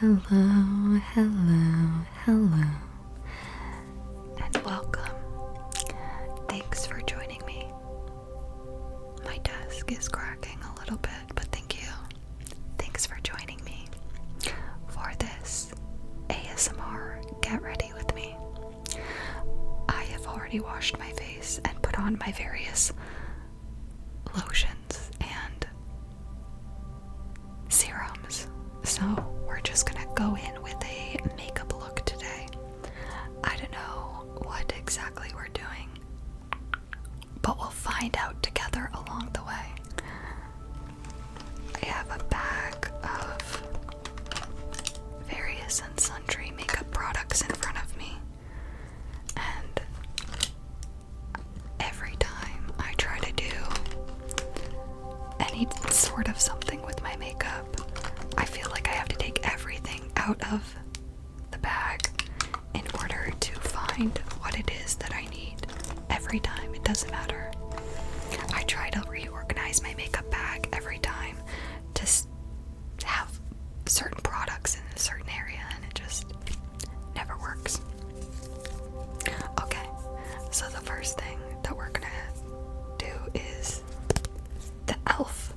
Hello, hello, hello, and welcome. Thanks for joining me. My desk is cracking a little bit, but thank you. Thanks for joining me for this ASMR Get Ready With Me. I have already washed my face and put on my various lotions and serums. So, we're just gonna go in with a makeup look today. I don't know what exactly we're doing, but we'll find out together along the way. I have a bag of various and sundry makeup products in front of me, and every time I try to do any sort of something with my makeup, I feel like I have to take everything out of the bag in order to find what it is that I need every time. It doesn't matter. I try to reorganize my makeup bag every time to have certain products in a certain area, and it just never works. Okay, so the first thing that we're gonna do is the e.l.f.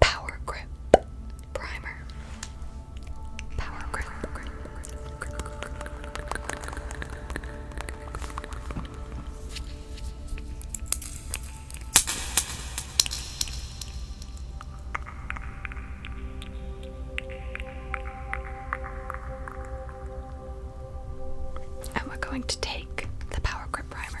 Power Grip Primer. And we're going to take the power grip primer.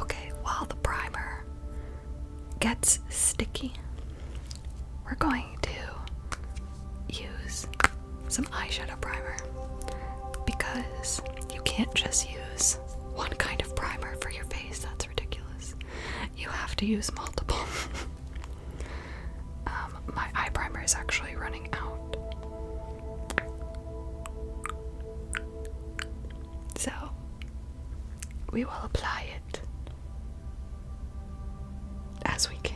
Okay, while the primer gets sticky, we're going to use some eyeshadow primer because you can't just use one kind of primer for your face, that's ridiculous. You have to use multiple. Um, my eye primer is actually running out. So we will apply it as we can.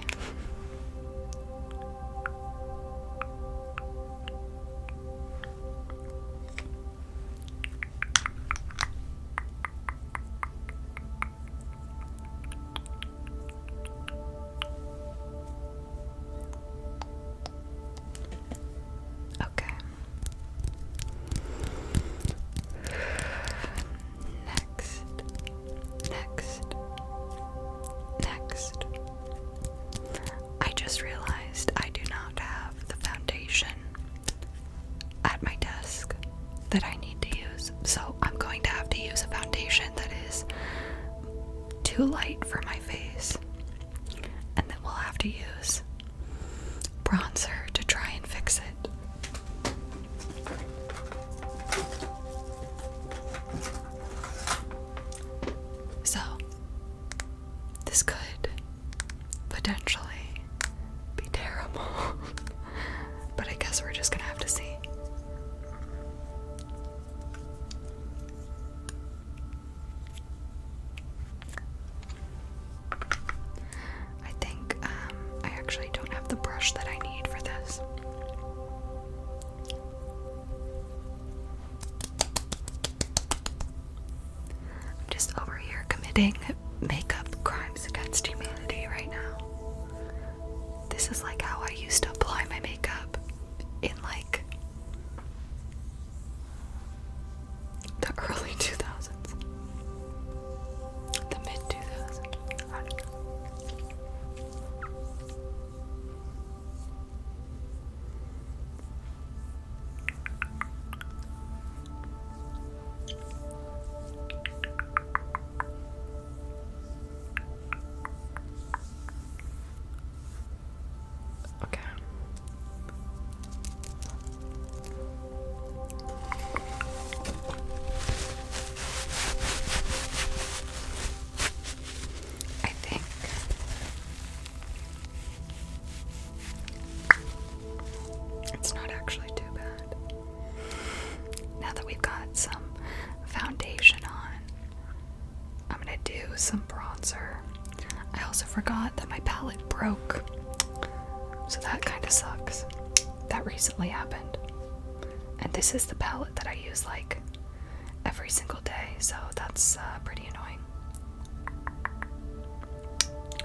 Okay. Next. Next. Next. I just realized I do not have the foundation at my desk that I need to use. So I'm going to have to use a foundation that is too light for my face and that we'll have to use bronzer to try and fix it. So, this could potentially be terrible, but I guess we're just gonna have to see. I think um, I actually don't have the brush that I need for this. I'm just over here committing makeup crimes against humanity right now. This is like how I used to apply my makeup in like the early 2000s, the mid 2000s. I Okay. I think it's not actually too bad. Now that we've got some foundation on, I'm gonna do some bronzer. I also forgot that my palette broke, so that kind of sucks. That recently happened. And this is the palette that I use like every single day, so that's uh, pretty annoying.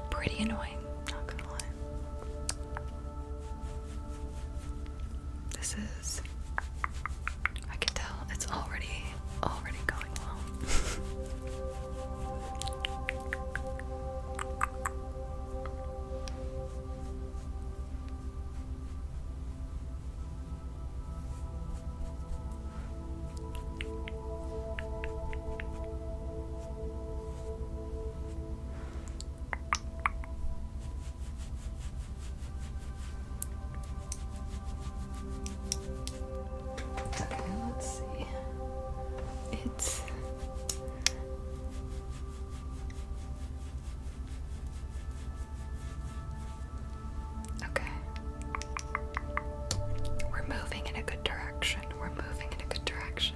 Pretty annoying, not gonna lie. This is I can tell it's already already going well. Okay, let's see. It's Okay. We're moving in a good direction. We're moving in a good direction.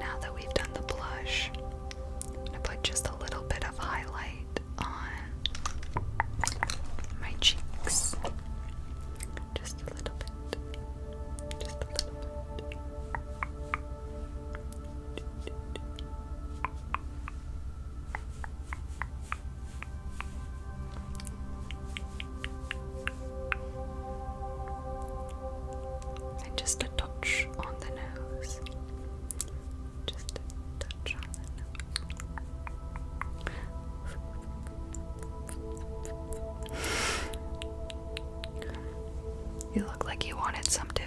Now that we've done the blush, I'm gonna put just a little bit of highlight on my cheeks. Just a little bit. Just a little bit. And just a touch on the nose. Just a touch you look like you wanted some too.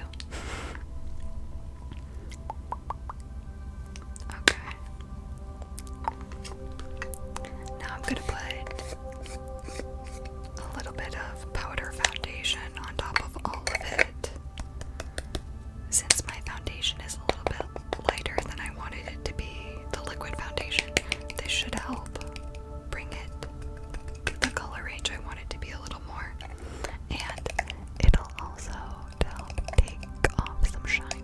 Okay. Now I'm going to put a little bit of powder foundation on top of all of it. Since my foundation is a little bit lighter than I wanted it to be, the liquid foundation, this should help bring it to the color range I want it to be a little more. And it'll also help take off some shine.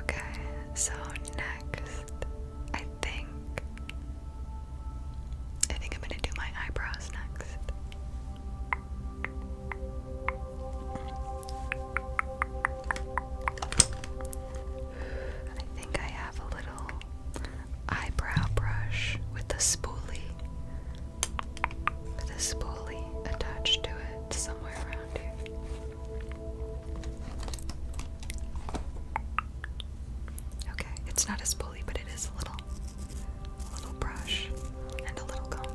Okay, so next, I think I think I'm gonna do my eyebrows next. I think I have a little eyebrow brush with a spoolie, with a spoolie attached to it somewhere around here. Okay, it's not a spoolie, but it is a little, a little brush and a little comb.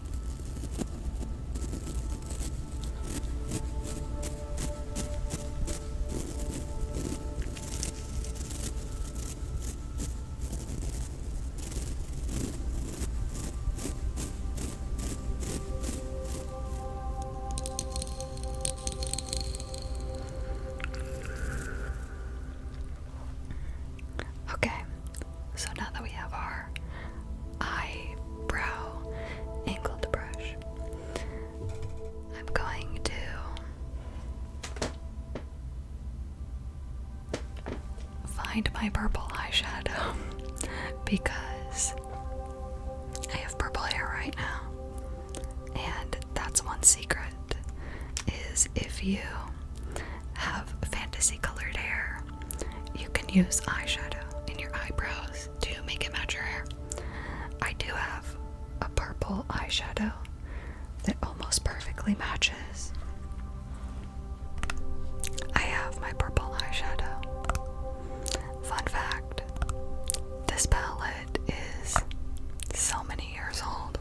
Okay, so now that we have our eyebrow angled brush. I'm going to find my purple eyeshadow because I have purple hair right now. And that's one secret is if you have fantasy colored hair, you can use eyeshadow in your eyebrows to make it match your hair. I do have a purple eyeshadow that almost perfectly matches. I have my purple eyeshadow. Fun fact this palette is so many years old.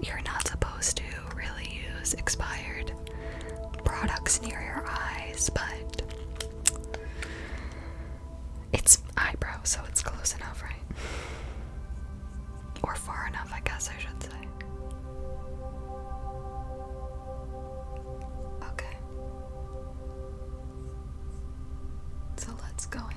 You're not supposed to really use expired products near your eyes, but it's eyebrow, so it's close enough, right? Or far enough, I guess I should say. Okay. So let's go in.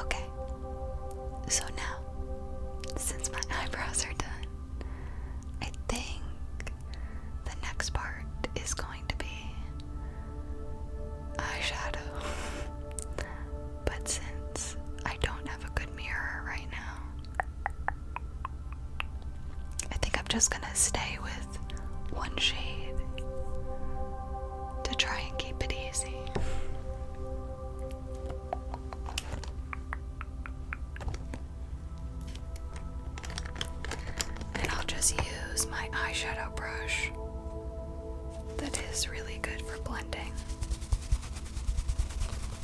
Okay, so now, since my eyebrows are done, I think the next part is going to be eyeshadow. but since I don't have a good mirror right now, I think I'm just gonna stay with one shade to try and keep it easy. And I'll just use my eyeshadow brush that is really good for blending.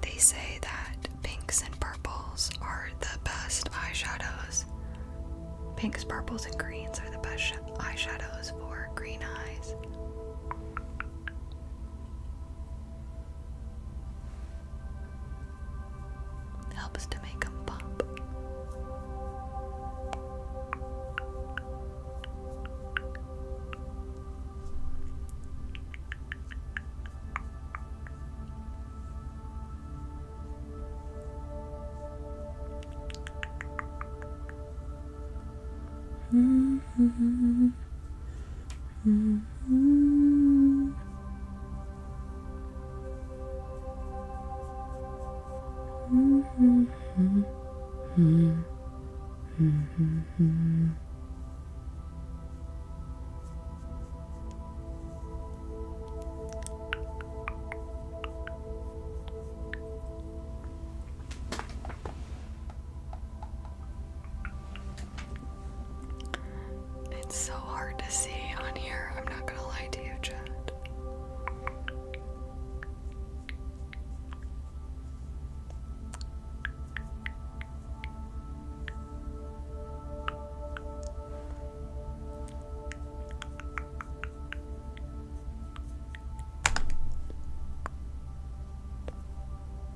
They say that pinks and purples are the best eyeshadows. Pinks, purples, and greens are the best eyeshadows for green eyes. Helps to make them pop. Mm-hmm. Mm -hmm. Mm -hmm. -hmm. -hmm. It's so hard to see on here, I'm not gonna lie to you, Chad.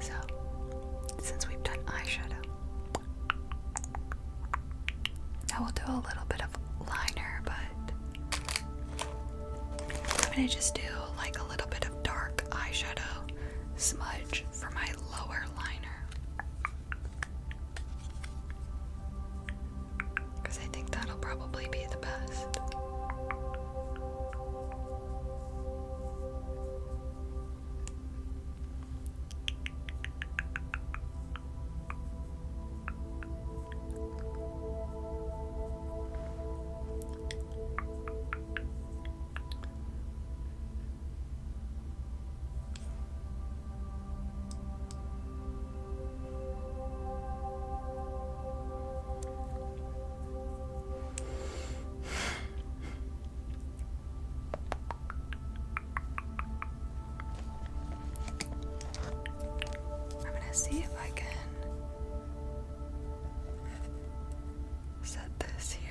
so, since we've done eyeshadow, I will do a little bit of liner, but I'm gonna just do like a little bit of dark eyeshadow smudge for my lower liner because I think that'll probably be the best. I'm going to see if I can set this here.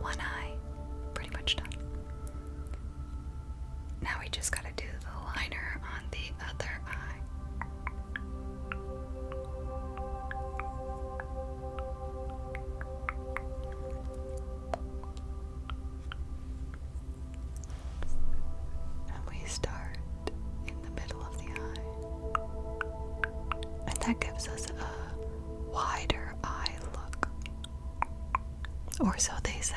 One eye, pretty much done. Now we just gotta do the liner on the other eye. And we start in the middle of the eye. And that gives us a wider eye look. Or so they say.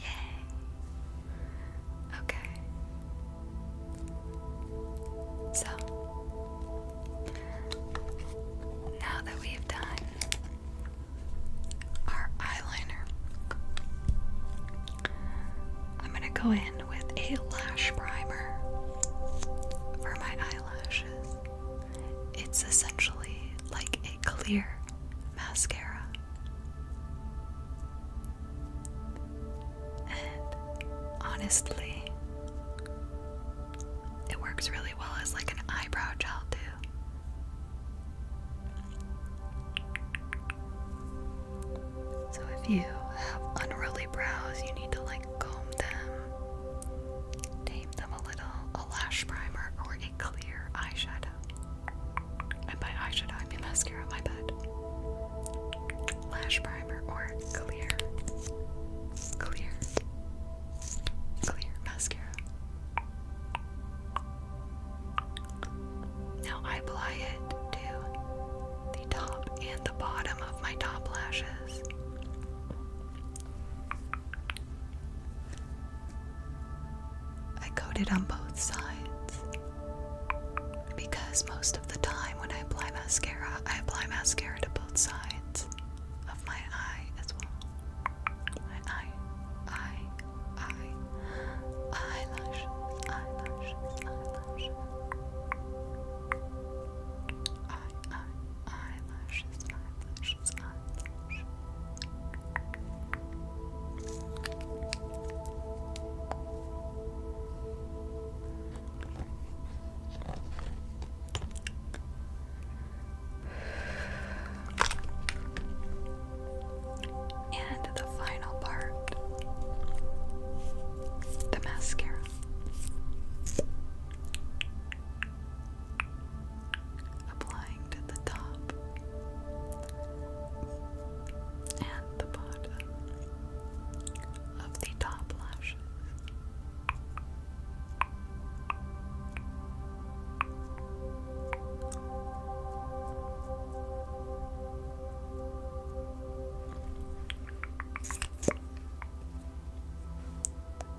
Yay. Okay. So, now that we've done our eyeliner, I'm going to go in with a lash primer for my eyelashes. It's essentially like a clear mascara. And honestly, it works really well as like an eyebrow gel, too. So, if you have unruly brows, you need to like comb them, tame them a little, a lash primer, or a clear eyeshadow. And by eyeshadow, mascara, my bad. Lash primer or clear, clear, clear mascara. Now I apply it to the top and the bottom of my top lashes. I coat it on both sides because most of the time when I apply mascara, I apply mascara to both sides of my eye as well. My eye, eye, eye, eyelashes, eyelashes, eyelashes. Eye, eye, eyelashes, eyelashes, precious much. And the final part the mascara applying to the top and the bottom of the top lashes.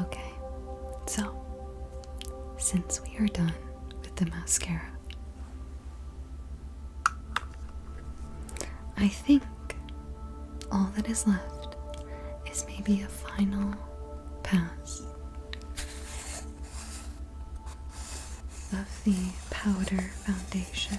Okay, so since we are done with the mascara, I think all that is left is maybe a final pass of the powder foundation.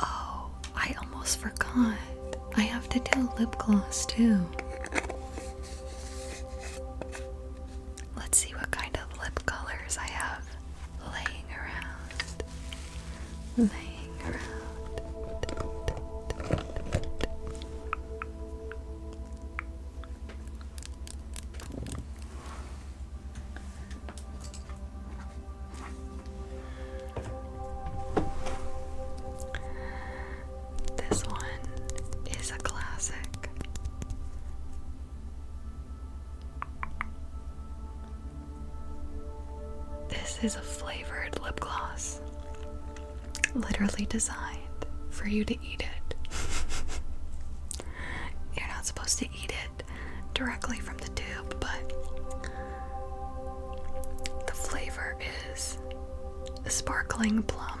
Oh, I almost forgot. I have to do lip gloss too. Let's see what kind of lip colors I have laying around. Laying around. This one is a classic. This is a flavored lip gloss, literally designed for you to eat it. You're not supposed to eat it directly from the tube, but the flavor is sparkling plum.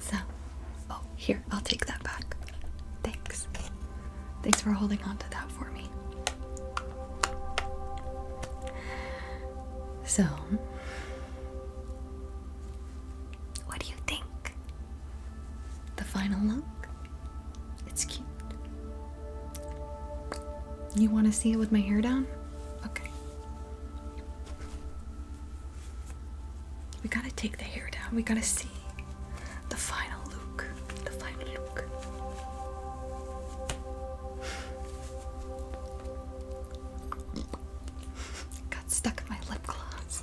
So, oh, here, I'll take that back. Thanks. Thanks for holding on to that. So, what do you think? The final look? It's cute. You want to see it with my hair down? Okay. We gotta take the hair down. We gotta see the final look the final look. Got stuck in my lip gloss.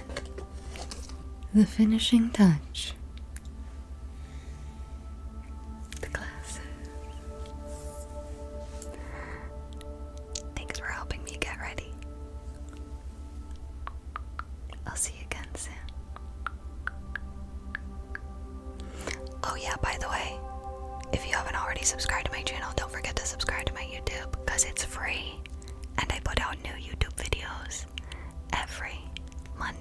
the finishing touch, the glasses. Thanks for helping me get ready. I'll see you again soon. Oh, yeah, by the way, if you haven't already subscribed to my channel, don't forget to subscribe to my YouTube because it's free and I put out new YouTube videos every Monday.